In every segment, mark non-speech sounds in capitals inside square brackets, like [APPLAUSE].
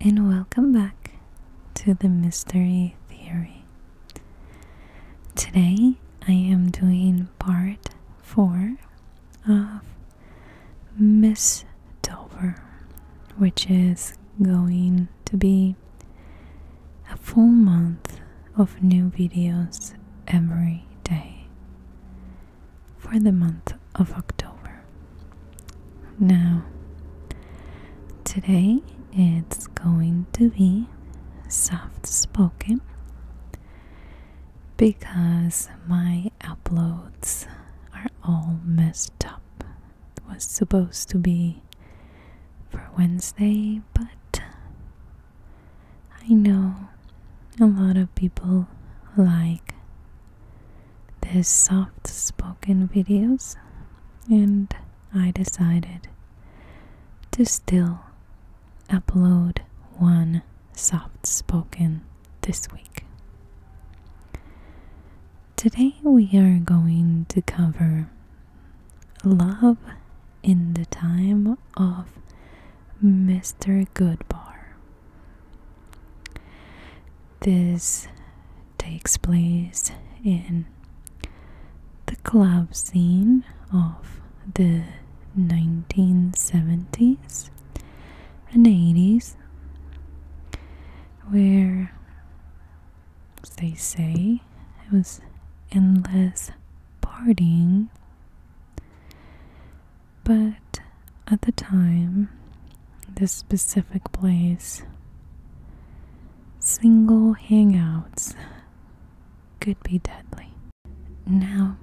and welcome back to the Mystery Theory. Today I am doing part 4 of Miss Dover, which is going to be a full month of new videos every day for the month of October. Now, today it's going to be soft spoken because my uploads are all messed up. It was supposed to be for Wednesday, but I know a lot of people like there's soft spoken videos, and I decided to still upload one soft spoken this week. Today we are going to cover love in the time of Mr. Goodbar. This takes place in the club scene of the 1970s and 80s, where, they say, it was endless partying. But at the time, this specific place. Single hangouts could be deadly. Now,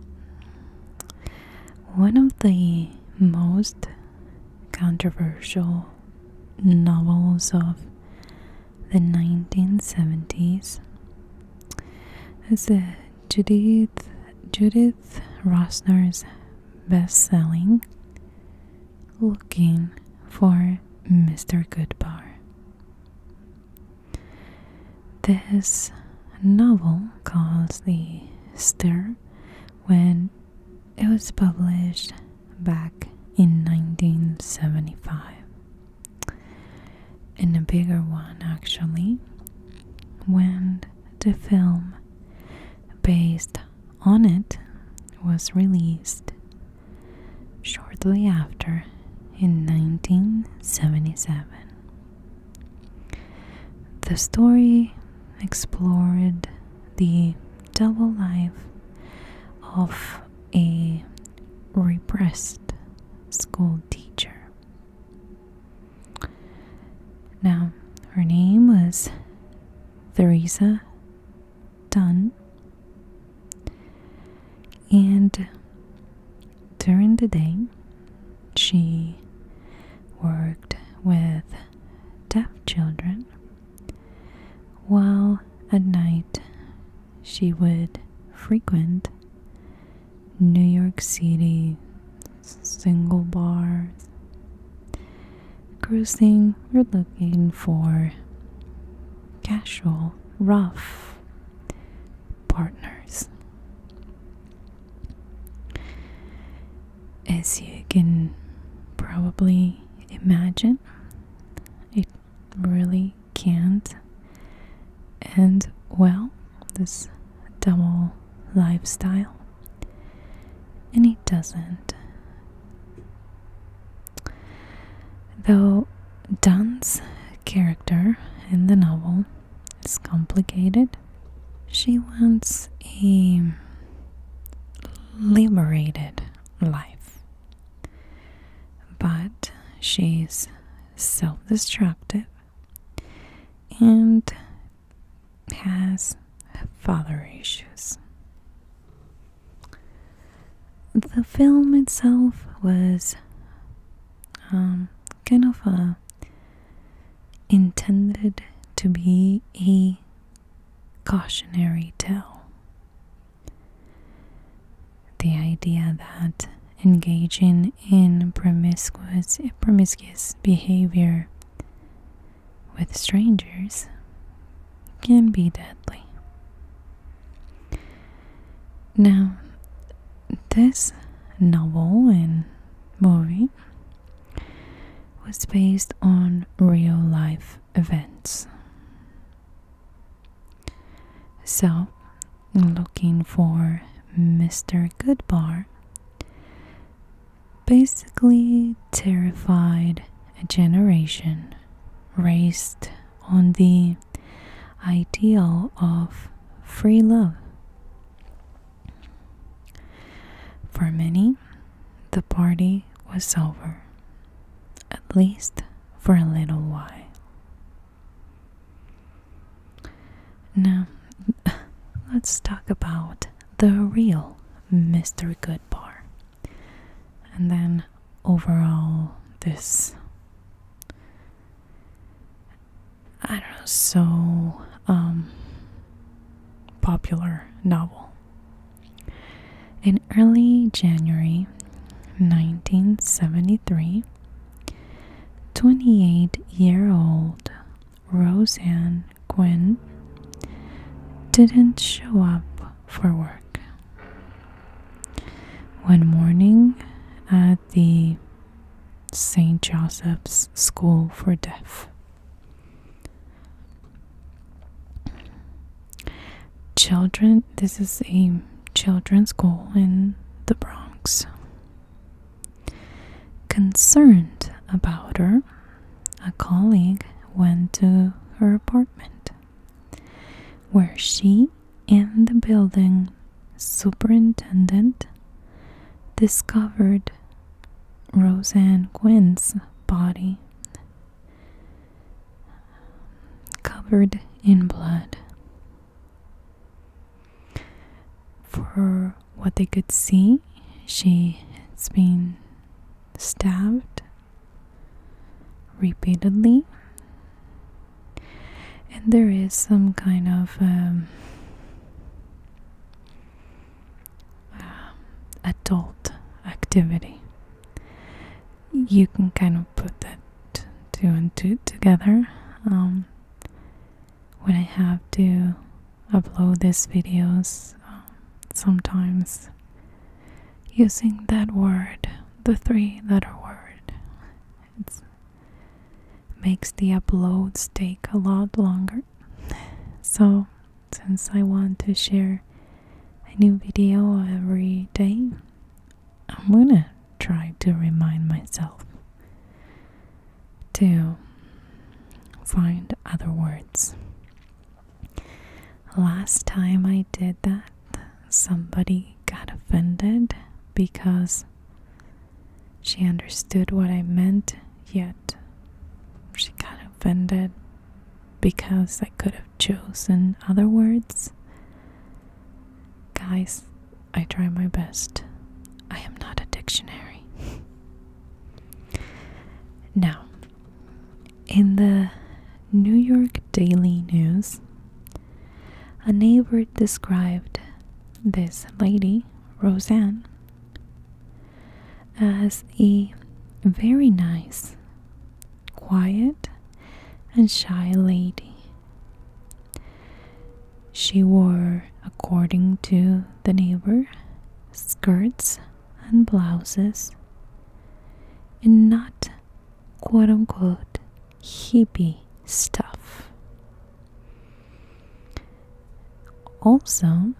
one of the most controversial novels of the 1970s is Judith Judith Rosner's best-selling looking for Mr. Goodbar. This novel caused the stir when it was published back in 1975. And a bigger one, actually, when the film based on it was released shortly after in 1977. The story explored the double life of a repressed school teacher. Now, her name was Theresa done. And during the day, she worked with deaf children, while at night she would frequent New York City single bars Cruising, we're looking for casual, rough partners. As you can probably imagine, it really can't end well, this double lifestyle. And it doesn't Though Dan's character in the novel is complicated, she wants a liberated life. But she's self destructive and has father issues. The film itself was um, kind of uh, intended to be a cautionary tale. The idea that engaging in promiscuous behavior with strangers can be deadly. Now, this novel and movie was based on real life events. So, looking for Mr. Goodbar basically terrified a generation raised on the ideal of free love. For many, the party was over, at least for a little while. Now, [LAUGHS] let's talk about the real Mr. Goodbar. And then overall, this I don't know, so um, popular novel. In early January 1973, 28 year old Roseanne Quinn didn't show up for work. One morning at the St. Joseph's School for Deaf, children, this is a children's school in the Bronx. Concerned about her, a colleague went to her apartment where she and the building superintendent discovered Roseanne Quinn's body covered in blood. For what they could see, she has been stabbed repeatedly. And there is some kind of um, um, adult activity. You can kind of put that two and two together. Um, when I have to upload these videos, sometimes using that word, the three letter word. It makes the uploads take a lot longer. So, since I want to share a new video every day, I'm gonna try to remind myself to find other words. Last time I did that, somebody got offended because she understood what I meant, yet she got offended because I could have chosen other words. Guys, I try my best. I am not a dictionary. [LAUGHS] now, in the New York Daily News, a neighbor described this lady, Roseanne, as a very nice, quiet, and shy lady. She wore, according to the neighbor, skirts and blouses and not quote unquote hippie stuff. Also,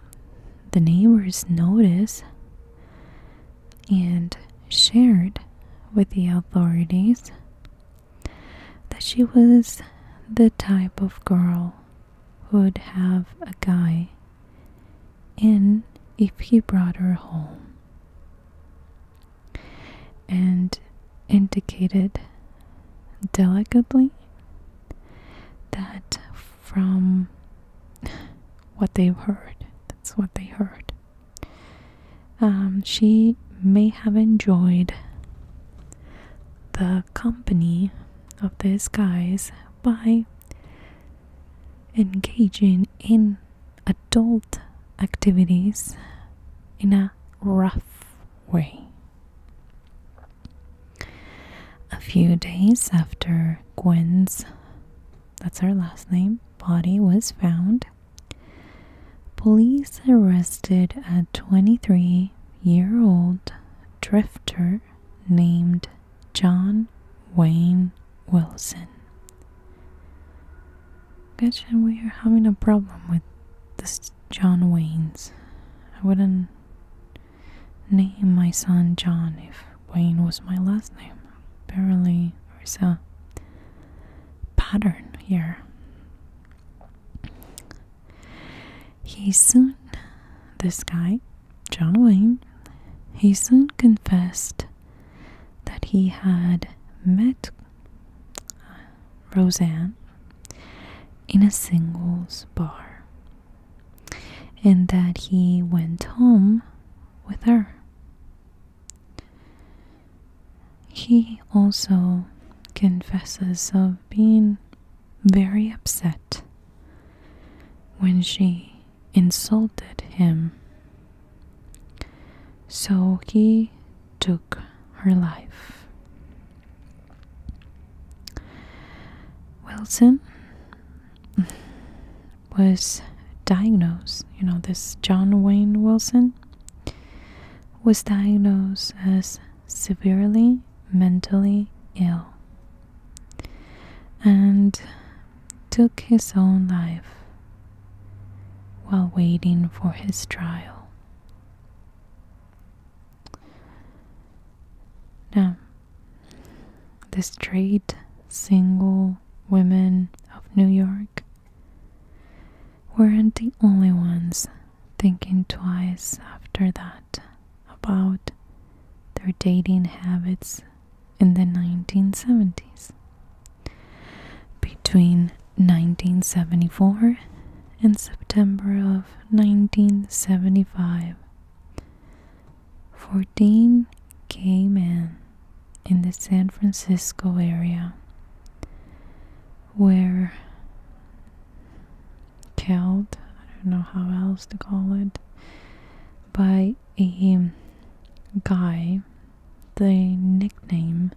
the neighbors noticed and shared with the authorities that she was the type of girl who would have a guy and if he brought her home, and indicated delicately that from what they've heard, that's what they heard, um, she may have enjoyed the company of these guys by engaging in adult activities in a rough way. A few days after Gwen's, that's her last name, body was found, police arrested a 23 year old drifter named John Wayne Wilson. Gosh, and we are having a problem with this John Wayne's. I wouldn't name my son John if Wayne was my last name. Apparently, there's a pattern here. He soon, this guy, John Wayne, he soon confessed that he had met uh, Roseanne in a singles bar and that he went home with her. He also confesses of being very upset when she insulted him. So he took her life. Wilson was diagnosed, you know, this John Wayne Wilson was diagnosed as severely mentally ill and took his own life while waiting for his trial. Now, the straight, single women of New York weren't the only ones thinking twice after that about their dating habits in the 1970s. Between 1974 and September of 1975, 14 gay men in the San Francisco area were killed, I don't know how else to call it, by a guy the nickname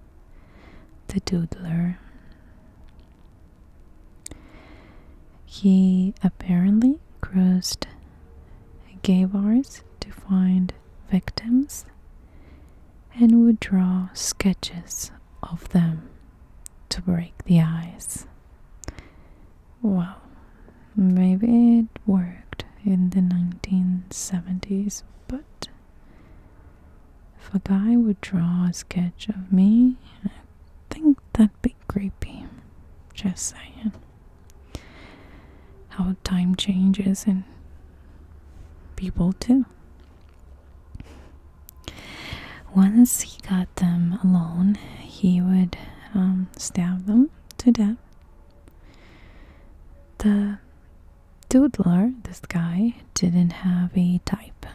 the Doodler. He apparently cruised gay bars to find victims and would draw sketches of them to break the ice. Wow, Maybe it worked in the 1970s, but if a guy would draw a sketch of me, I think that'd be creepy. Just saying. How time changes and people too. Once he got them alone, he would um, stab them to death the doodler, this guy, didn't have a type.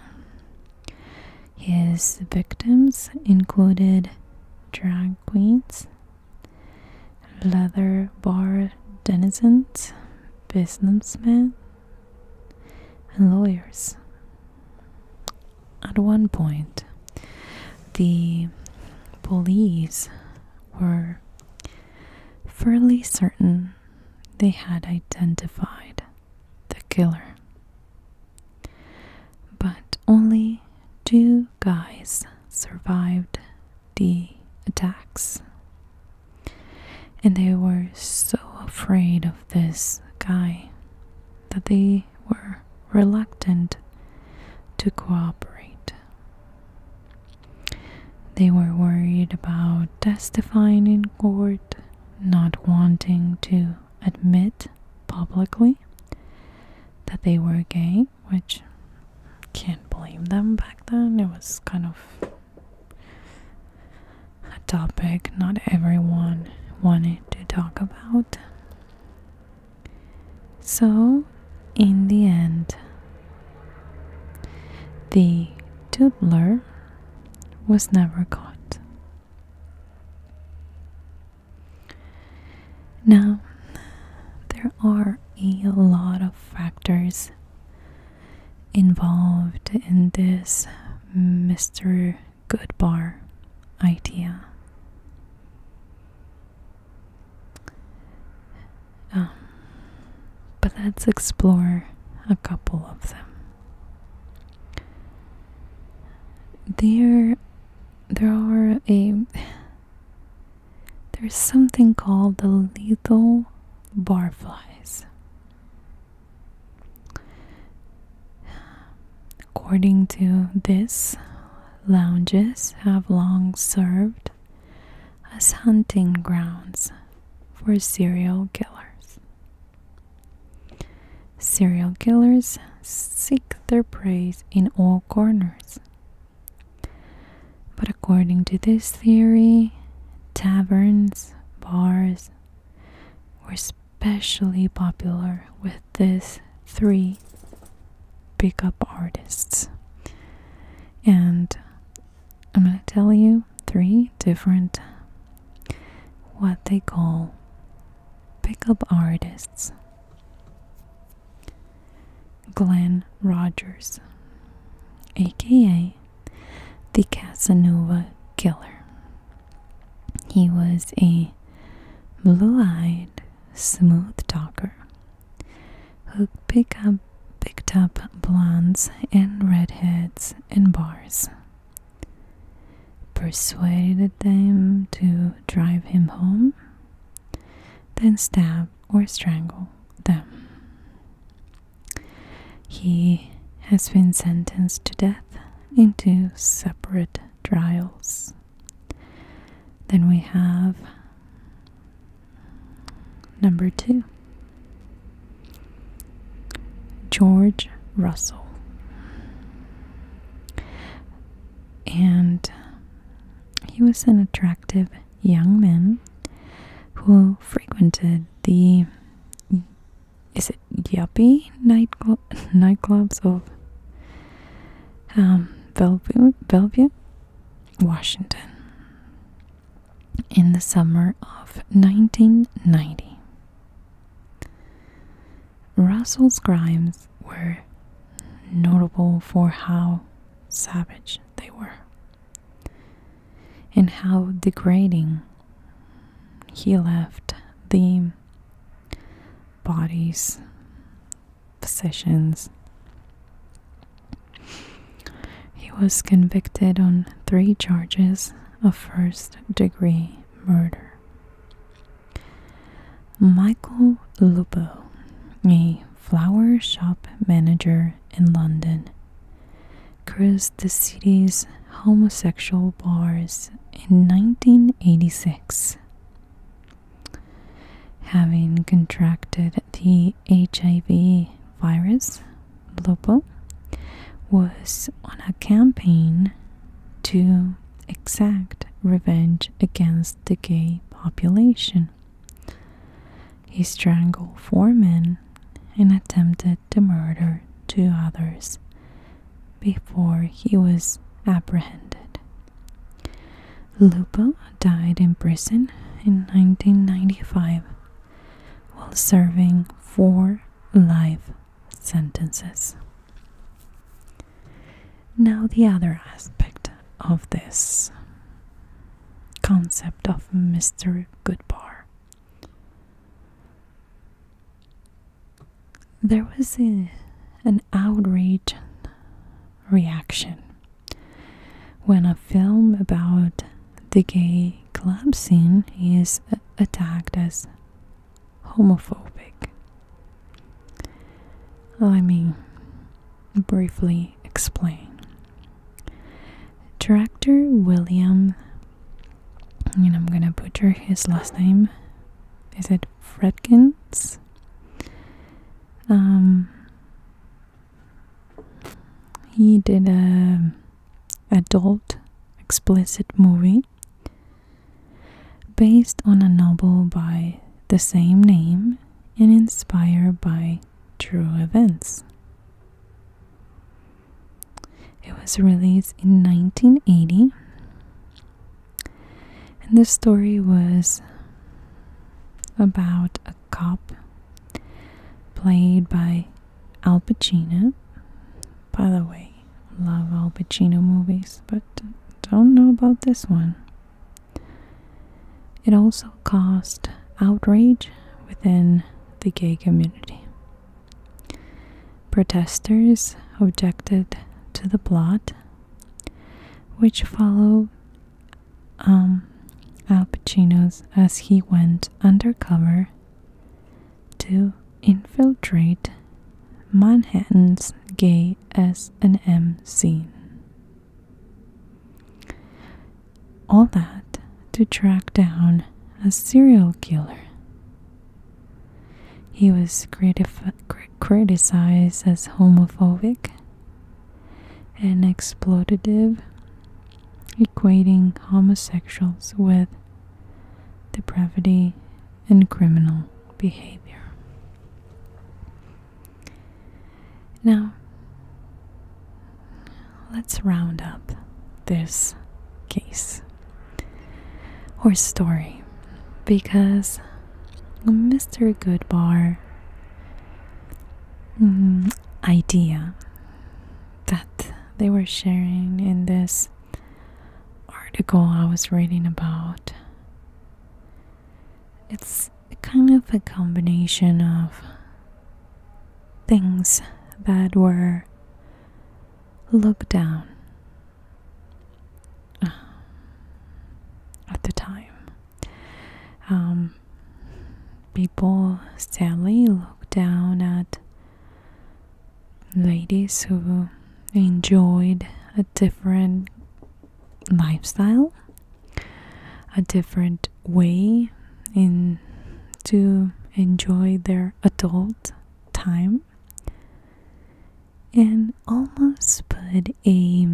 His victims included drag queens, leather bar denizens, businessmen, and lawyers. At one point, the police were Fairly certain they had identified the killer. But only two guys survived the attacks. And they were so afraid of this guy that they were reluctant to cooperate. They were worried about testifying in court, not wanting to admit publicly that they were gay, which can't blame them back then. It was kind of a topic not everyone wanted to talk about. So, in the end, the doodler was never caught. Now, there are a lot of factors involved in this Mr. Goodbar idea. Um, but let's explore a couple of them. There, there are a. There's something called the lethal barflies. According to this, lounges have long served as hunting grounds for serial killers. Serial killers seek their prey in all corners. But according to this theory, taverns, bars were especially popular with these three pickup artists. And I'm going to tell you three different what they call pickup artists. Glenn Rogers, aka the Casanova Killer. He was a blue eyed, smooth talker who pick up, picked up blondes and redheads in bars, persuaded them to drive him home, then stab or strangle them. He has been sentenced to death in two separate trials. Then we have Number two, George Russell. And he was an attractive young man who frequented the is it yuppie nightclubs of um, Bellevue, Bellevue, Washington in the summer of 1990. Russell's crimes were notable for how savage they were and how degrading he left the bodies sessions. He was convicted on three charges of first degree murder. Michael Lubbo, a flower shop manager in London, cursed the city's homosexual bars in 1986. Having contracted the HIV virus, Lupo, was on a campaign to exact revenge against the gay population. He strangled four men and attempted to murder two others before he was apprehended. Lupo died in prison in 1995 while serving four life sentences. Now, the other aspect of this concept of Mr. Goodbar. There was an outrage reaction. When a film about the gay club scene is attacked as homophobic. Let me briefly explain. Director William, and I'm gonna butcher his last name, is it Fredkins? Um, he did a adult explicit movie based on a novel by the same name and inspired by true events. It was released in 1980 and the story was about a cop played by Al Pacino. By the way, love Al Pacino movies, but don't know about this one. It also caused outrage within the gay community. Protesters objected to the plot, which followed um, Al Pacino's as he went undercover to infiltrate Manhattan's gay S&M scene. All that to track down a serial killer. He was criticized as homophobic and exploitative, equating homosexuals with depravity and criminal behavior. Now, let's round up this case or story because Mr. Goodbar Mm, idea that they were sharing in this article I was reading about. It's kind of a combination of things that were looked down uh, at the time um, people sadly look down at ladies who enjoyed a different lifestyle, a different way in to enjoy their adult time and almost put a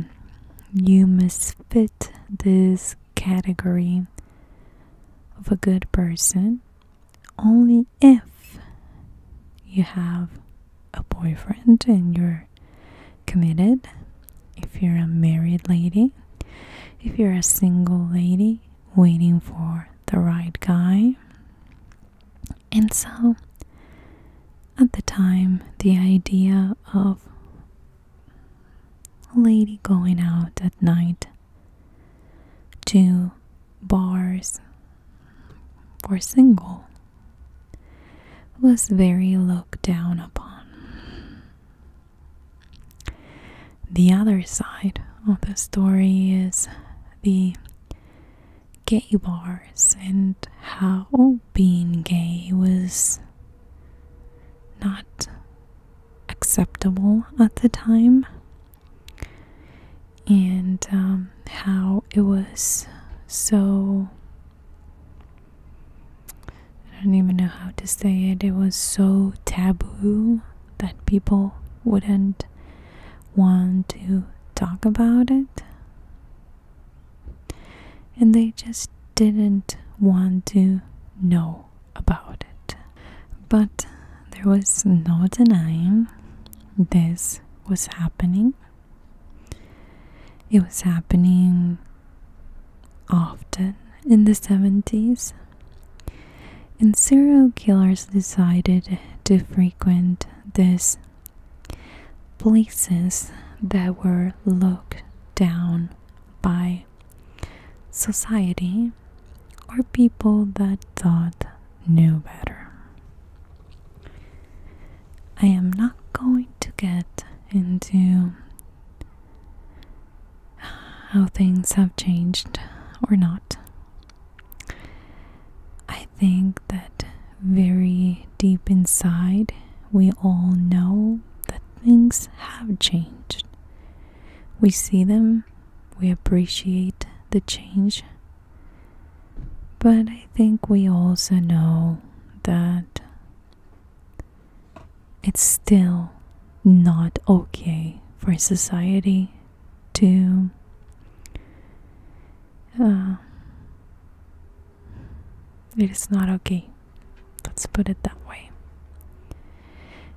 new misfit this category of a good person only if you have a boyfriend and you're committed, if you're a married lady, if you're a single lady waiting for the right guy. And so, at the time, the idea of lady going out at night to bars for single was very looked down upon. The other side of the story is the gay bars and how being gay was not acceptable at the time and um, how it was so I don't even know how to say it. It was so taboo that people wouldn't want to talk about it. And they just didn't want to know about it. But there was no denying this was happening. It was happening often in the 70s. And serial killers decided to frequent these places that were looked down by society or people that thought knew better. I am not going to get into how things have changed or not. I think that very deep inside, we all know that things have changed. We see them, we appreciate the change, but I think we also know that it's still not okay for society to uh, it is not okay Let's put it that way.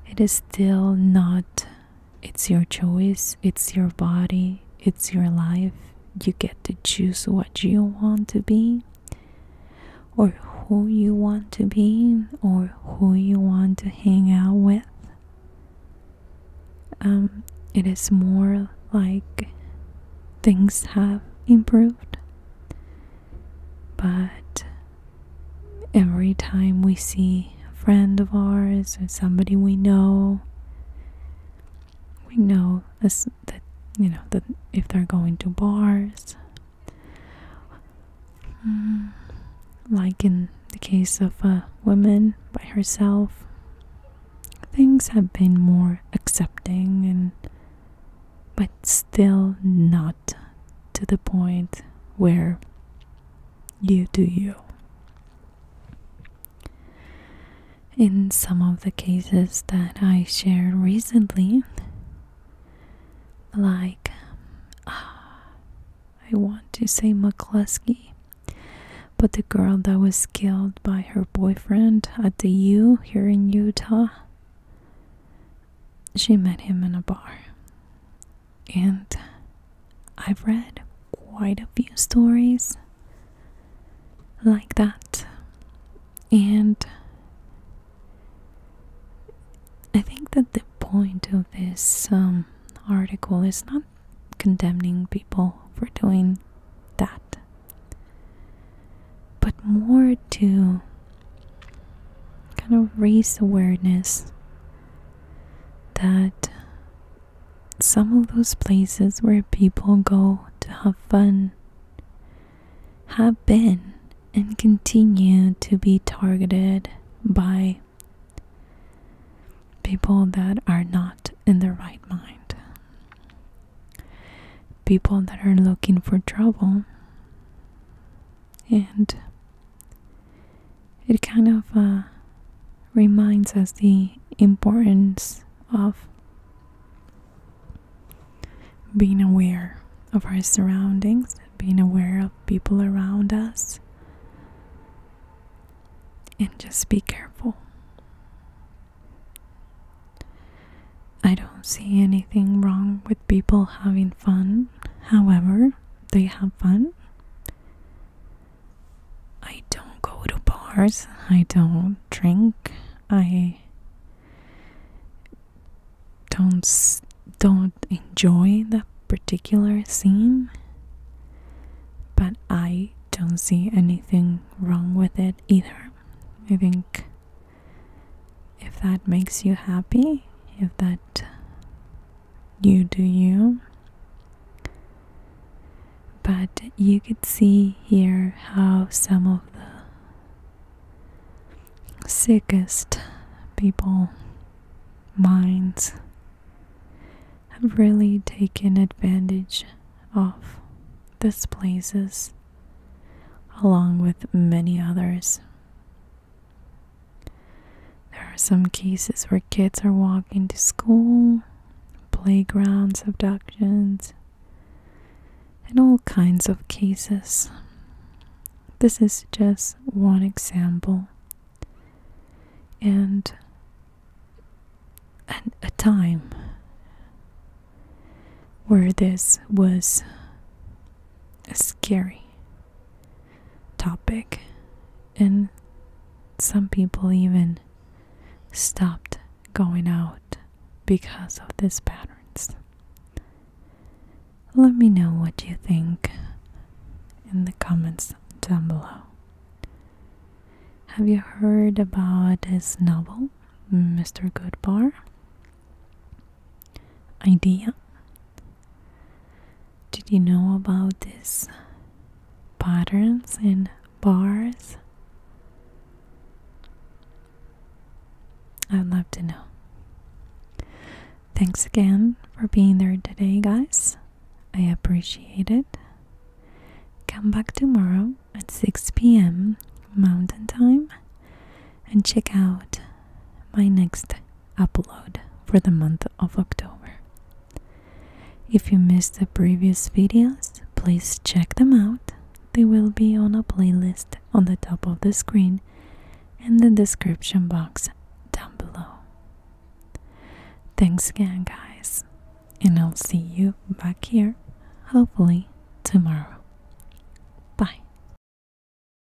It is still not, it's your choice, it's your body, it's your life. You get to choose what you want to be, or who you want to be, or who you want to hang out with. Um, it is more like things have improved, but Every time we see a friend of ours or somebody we know, we know that you know that if they're going to bars, mm, like in the case of a woman by herself, things have been more accepting and but still not to the point where you do you. In some of the cases that I shared recently, like um, ah, I want to say McCluskey, but the girl that was killed by her boyfriend at the U here in Utah, she met him in a bar. And I've read quite a few stories like that. And I think that the point of this um, article is not condemning people for doing that, but more to kind of raise awareness that some of those places where people go to have fun have been and continue to be targeted by people that are not in their right mind, people that are looking for trouble and it kind of uh, reminds us the importance of being aware of our surroundings, being aware of people around us, and just be careful. I don't see anything wrong with people having fun, however, they have fun. I don't go to bars, I don't drink, I don't don't enjoy that particular scene, but I don't see anything wrong with it either. I think if that makes you happy, if that you do you. But you could see here how some of the sickest people minds have really taken advantage of this places along with many others there are some cases where kids are walking to school, playgrounds, abductions, and all kinds of cases. This is just one example. And and a time where this was scary topic, and some people even stopped going out because of these patterns. Let me know what you think in the comments down below. Have you heard about this novel, Mr. Goodbar? Idea did you know about these patterns and bars? I'd love to know. Thanks again for being there today, guys. I appreciate it. Come back tomorrow at 6 p.m. Mountain Time and check out my next upload for the month of October. If you missed the previous videos, please check them out. They will be on a playlist on the top of the screen and the description box down below. Thanks again, guys, and I'll see you back here hopefully tomorrow. Bye.